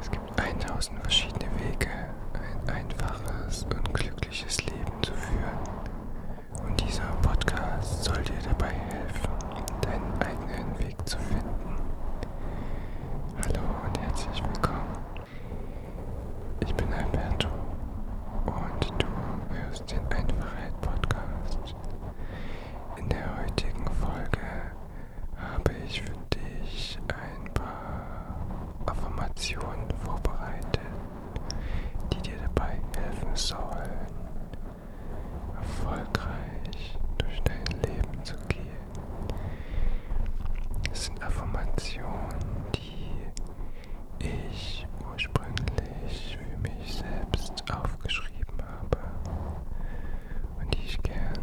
Es gibt 1000 verschiedene Wege, ein einfaches und glückliches Leben zu führen. Und dieser Podcast soll dir dabei helfen, deinen eigenen Weg zu finden. Hallo und herzlich willkommen. Ich bin Alberto und du hörst den Einfachheit Podcast. In der heutigen Folge habe ich für dich ein paar Affirmationen vorbereitet, die dir dabei helfen sollen, erfolgreich durch dein Leben zu gehen. Es sind Affirmationen, die ich ursprünglich für mich selbst aufgeschrieben habe und die ich gern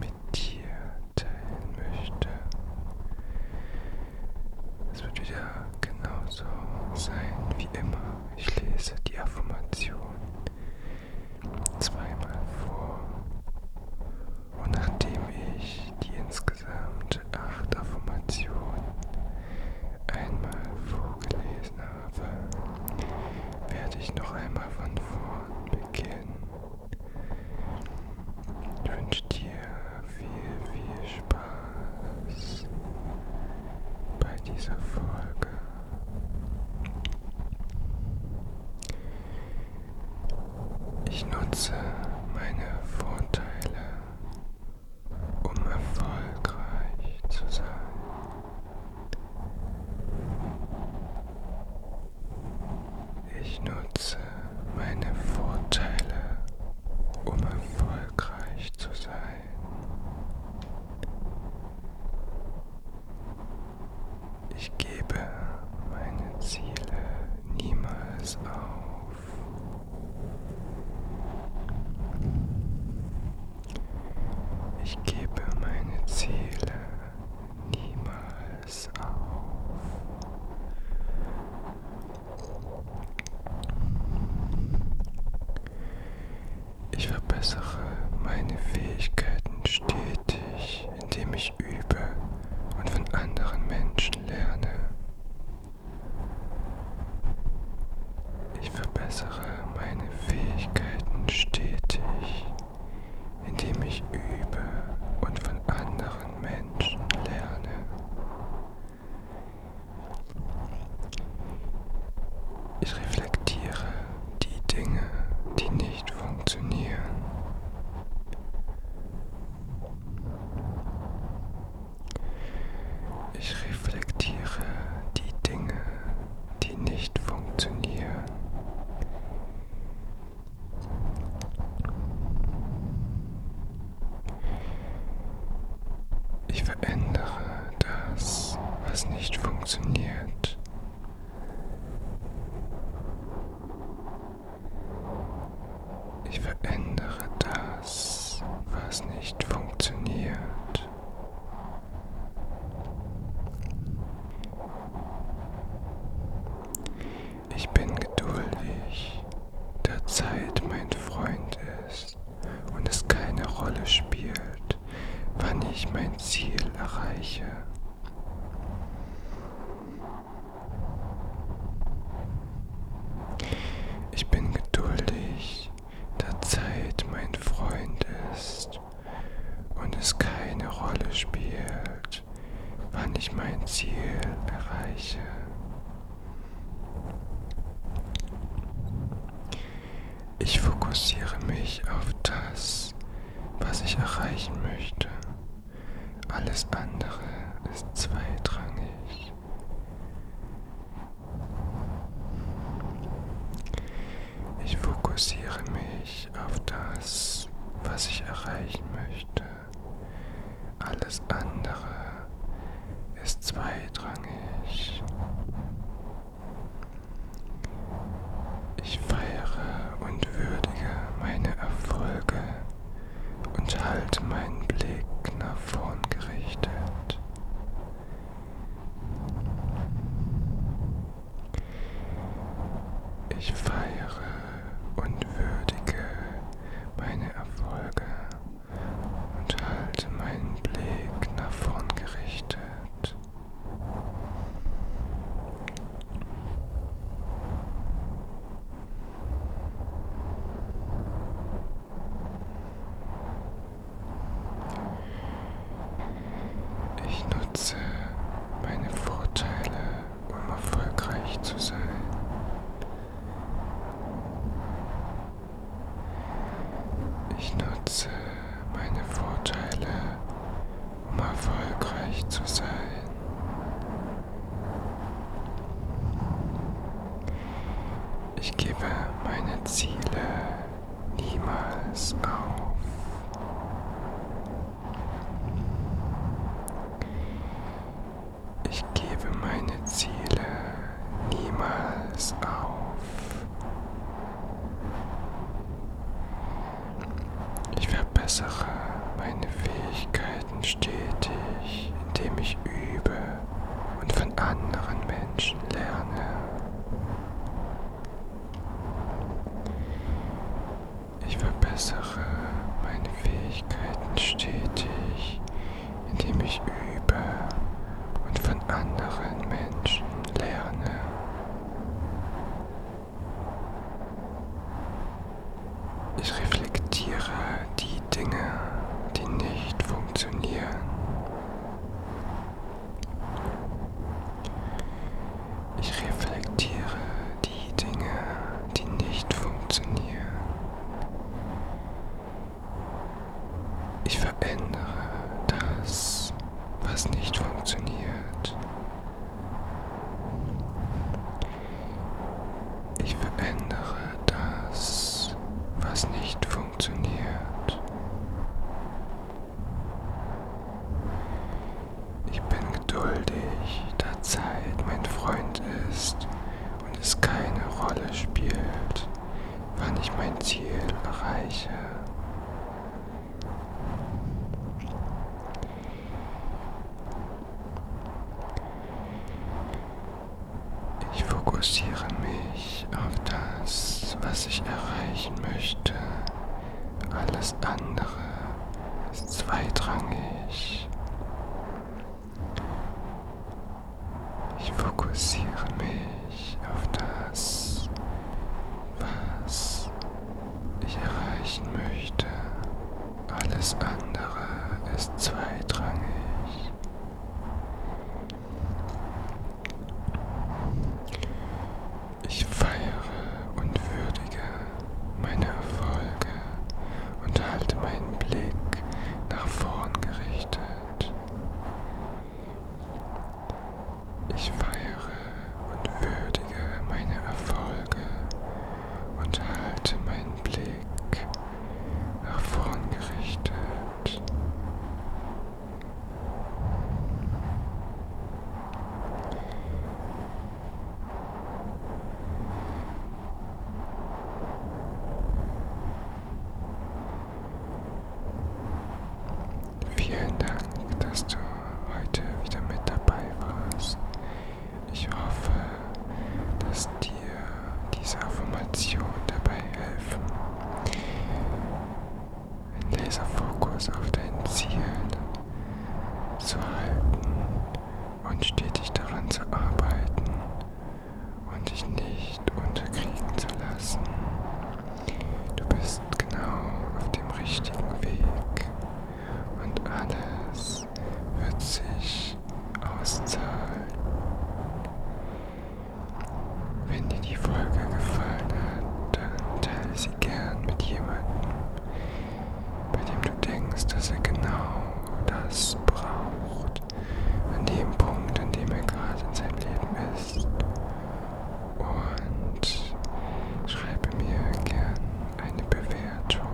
mit dir teilen möchte. Es wird wieder genauso sein wie immer. Ich lese die Affirmation zweimal vor und nachdem ich die insgesamt acht Affirmationen einmal vorgelesen habe, habe, werde ich noch einmal von vorn beginnen. Ich wünsche dir viel, viel Spaß bei dieser Folge. Ich nutze meine Vorteile, um erfolgreich zu sein. Ich nutze meine Vorteile, um erfolgreich zu sein. Ich gebe meine Ziele niemals auf. Ich gebe meine Ziele niemals auf. Ich verbessere meine Fähigkeiten stetig, indem ich übe und von anderen Menschen lerne. Ich verbessere meine Fähigkeiten stetig, indem ich übe und von anderen Menschen lerne. Ich reflektiere die Dinge, die nicht funktionieren. Ich reflektiere die Dinge, die nicht funktionieren. Ich verändere das, was nicht funktioniert. Ich verändere das, was nicht funktioniert. Ich bin geduldig, da Zeit mein Freund ist und es keine Rolle spielt, wann ich mein Ziel erreiche. Ich bin geduldig, da Zeit mein Freund ist ist und es keine Rolle spielt, wann ich mein Ziel erreiche. Ich fokussiere mich auf das, was ich erreichen möchte. Alles andere ist zweitrangig. Ich fokussiere mich auf das, was ich erreichen möchte. Alles andere ist zweitrangig. Ich feiere und würdige meine Erfolge und halte meinen Blick nach vorn gerichtet. Ich feiere und würdige meine Erfolge und halte meinen Blick nach vorn gerichtet. Ich nutze meine Vorteile, um erfolgreich zu sein. Ich nutze meine Vorteile, um erfolgreich zu sein. Ich gebe meine Ziele niemals auf. Ich gebe meine Ziele niemals auf. Ich verbessere meine Fähigkeiten stetig, indem ich übe und von anderen Menschen lerne. Ich verbessere meine Fähigkeiten stetig, indem ich übe und von anderen Menschen lerne. Ich reflektiere die Dinge, die nicht funktionieren. Ich reflektiere die Dinge, die nicht funktionieren. Ich verändere das, was nicht funktioniert. Ich verändere das, was nicht funktioniert. Ich bin geduldig, da Zeit mein Freund ist und es keine Rolle spielt, wann ich mein Ziel erreiche. Ich fokussiere mich auf das, was ich erreichen möchte alles andere ist zweitrangig. Ich fokussiere mich auf das, was ich erreichen möchte. Alles andere ist zweitrangig. Ich feiere und würdige meine Erfolge und halte meinen Blick nach vorn gerichtet. Ich feiere und würdige meine Erfolge und halte meinen Blick nach vorn gerichtet. Vielen Dank, dass du heute wieder mit dabei warst. Ich hoffe, dass dir diese Affirmation dabei helfen, einen Laserfokus auf dein Ziel zu halten und stetig daran zu arbeiten und dich nicht unterkriegen zu lassen. Du bist genau auf dem richtigen Weg und alles wird sich auszahlen. Wenn dir die Folge gefallen hat, dann teile sie gern mit jemandem, bei dem du denkst, dass er genau das braucht, an dem Punkt, an dem er gerade in seinem Leben ist. Und schreibe mir gern eine Bewertung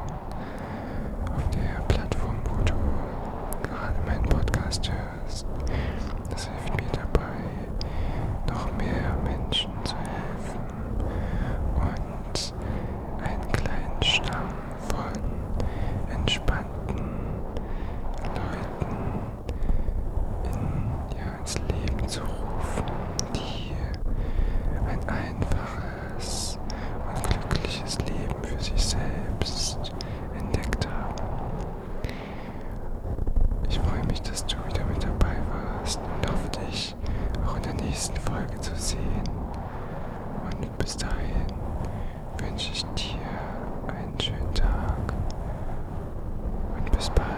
auf der Plattform, wo du gerade meinen Podcast hörst. Das hilft mir dabei, noch mehr Menschen zu helfen und einen kleinen Stamm von entspannten Leuten in, ja, ins Leben zu rufen, die ein einfaches und glückliches Leben für sich selbst entdeckt haben. Ich freue mich, dass du wieder mit dabei warst und hoffe dich euch auch in der nächsten Folge zu sehen. Und bis dahin wünsche ich dir einen schönen Tag und bis bald.